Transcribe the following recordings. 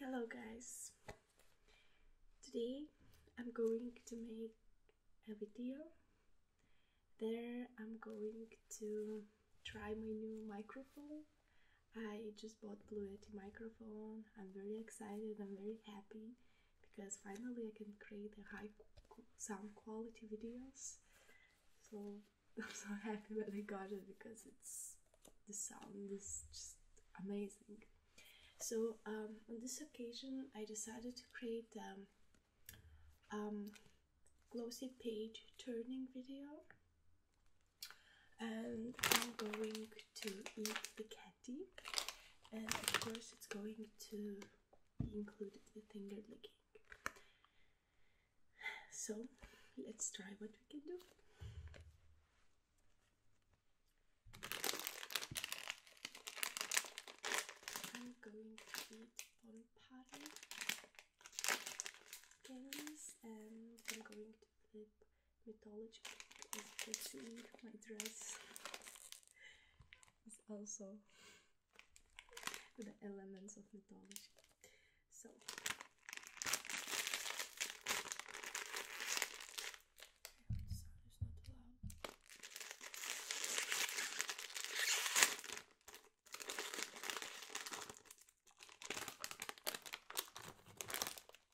Hello guys! Today I'm going to make a video. There I'm going to try my new microphone. I just bought Blue Yeti microphone I'm very excited. I'm very happy because finally I can create a high sound quality videos. So I'm so happy that I got it because it's the sound is just amazing. So um, on this occasion, I decided to create um, um glossy page turning video and I'm going to eat the candy, and of course it's going to include the finger licking. So let's try what we can do. I'm going to eat bon party candies and I'm going mythology is My dress is also the elements of mythology. So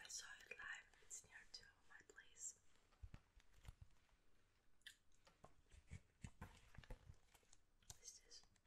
I saw it's near to my place. This is their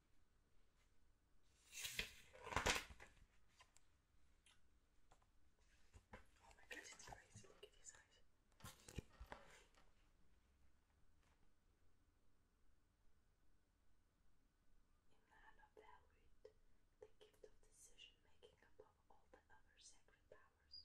Oh my god, it's crazy. Look at his eyes. Inanna valued the gift of decision making above all the other sacred powers.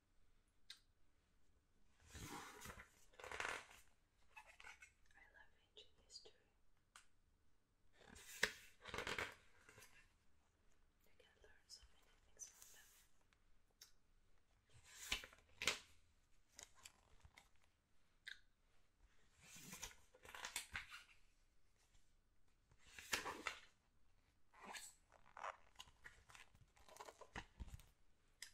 I love ancient history. I can learn so many things from them.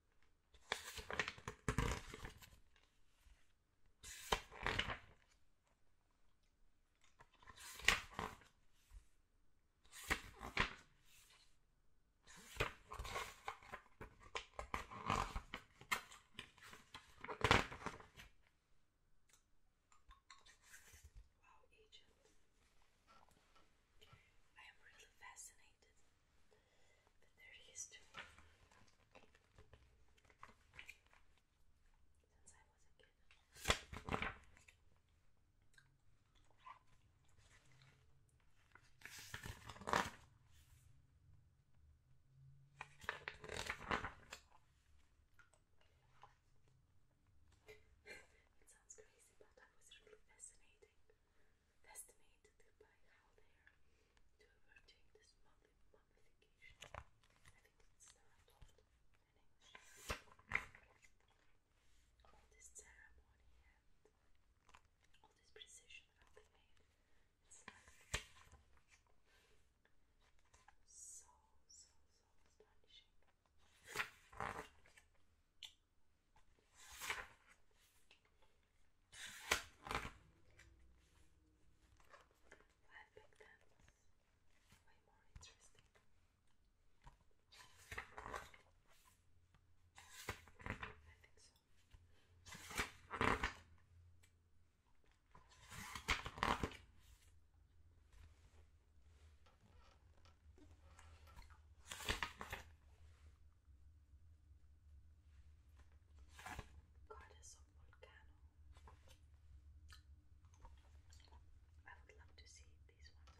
Egypt. I am really fascinated but there Since I was a kid. it sounds crazy, but that was really fascinating fascinated by how they are to this mummification. I think it's the All this ceremony and all this precision how they made it's so so so astonishing. I think way more interesting. I think so. Goddess of Volcano. I would love to see these ones.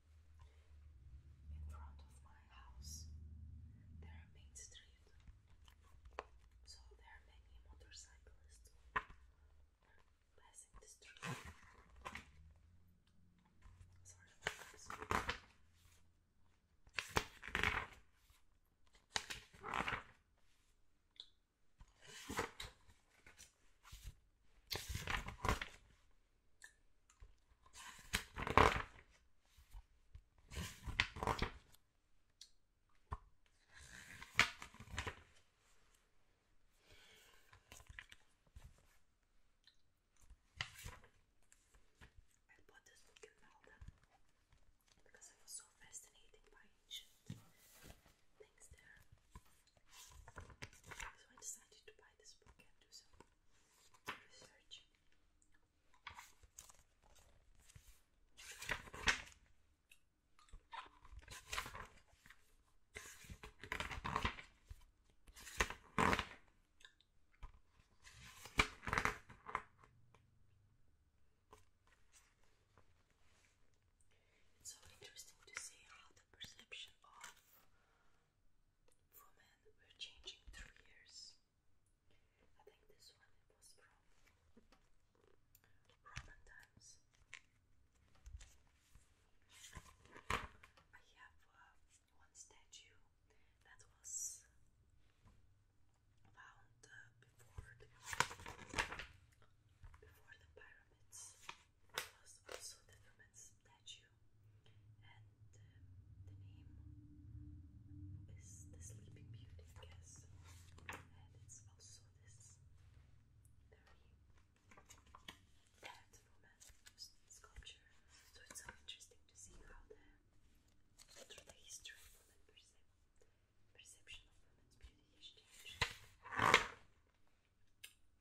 in front of my house. There main street, so there are many motorcyclists passing the street. Sorry about this. I bought this book in Malta because I was so fascinated by ancient things there. So I decided to buy this book and do some research. It's so interesting to see how the perception of women were changing through I think this one was from Roman times. I have uh, one statue that was found uh, before the, before the pyramids. It was also the woman's statue and um, the name is the Sleeping Beauty, I it's also this very dead woman sculpture. So it's so interesting to see how through the history of perception of women's beauty has changed.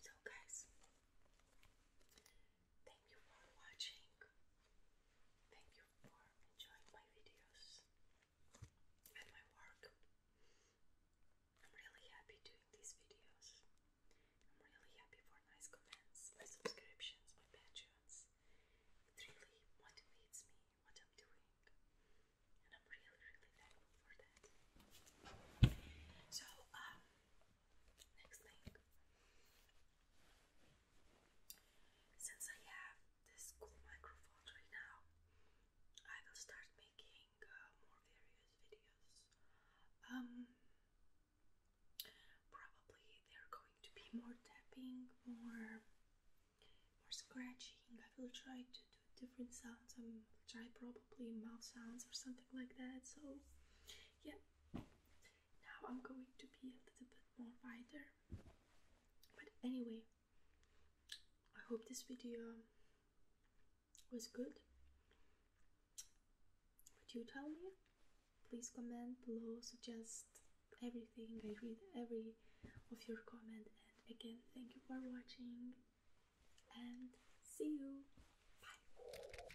so, guys, thank you for watching. Thank you for enjoying my videos and my work. I'm really happy doing these videos. I'm really happy for my subscriptions, my patrons. It really motivates me what I'm doing, and I'm really, really thankful for that. So, um, next thing. Since I have this cool microphone right now, I will start making uh, more various videos. Um, Probably they're going to be more tapping, more more scratching. I will try to do different sounds. I will try probably mouth sounds or something like that. So yeah, now I'm going to be a little bit more wider. But anyway, I hope this video was good? Would you tell me? Please comment below, suggest everything. I read every of your comment and again thank you for watching and see you. Bye.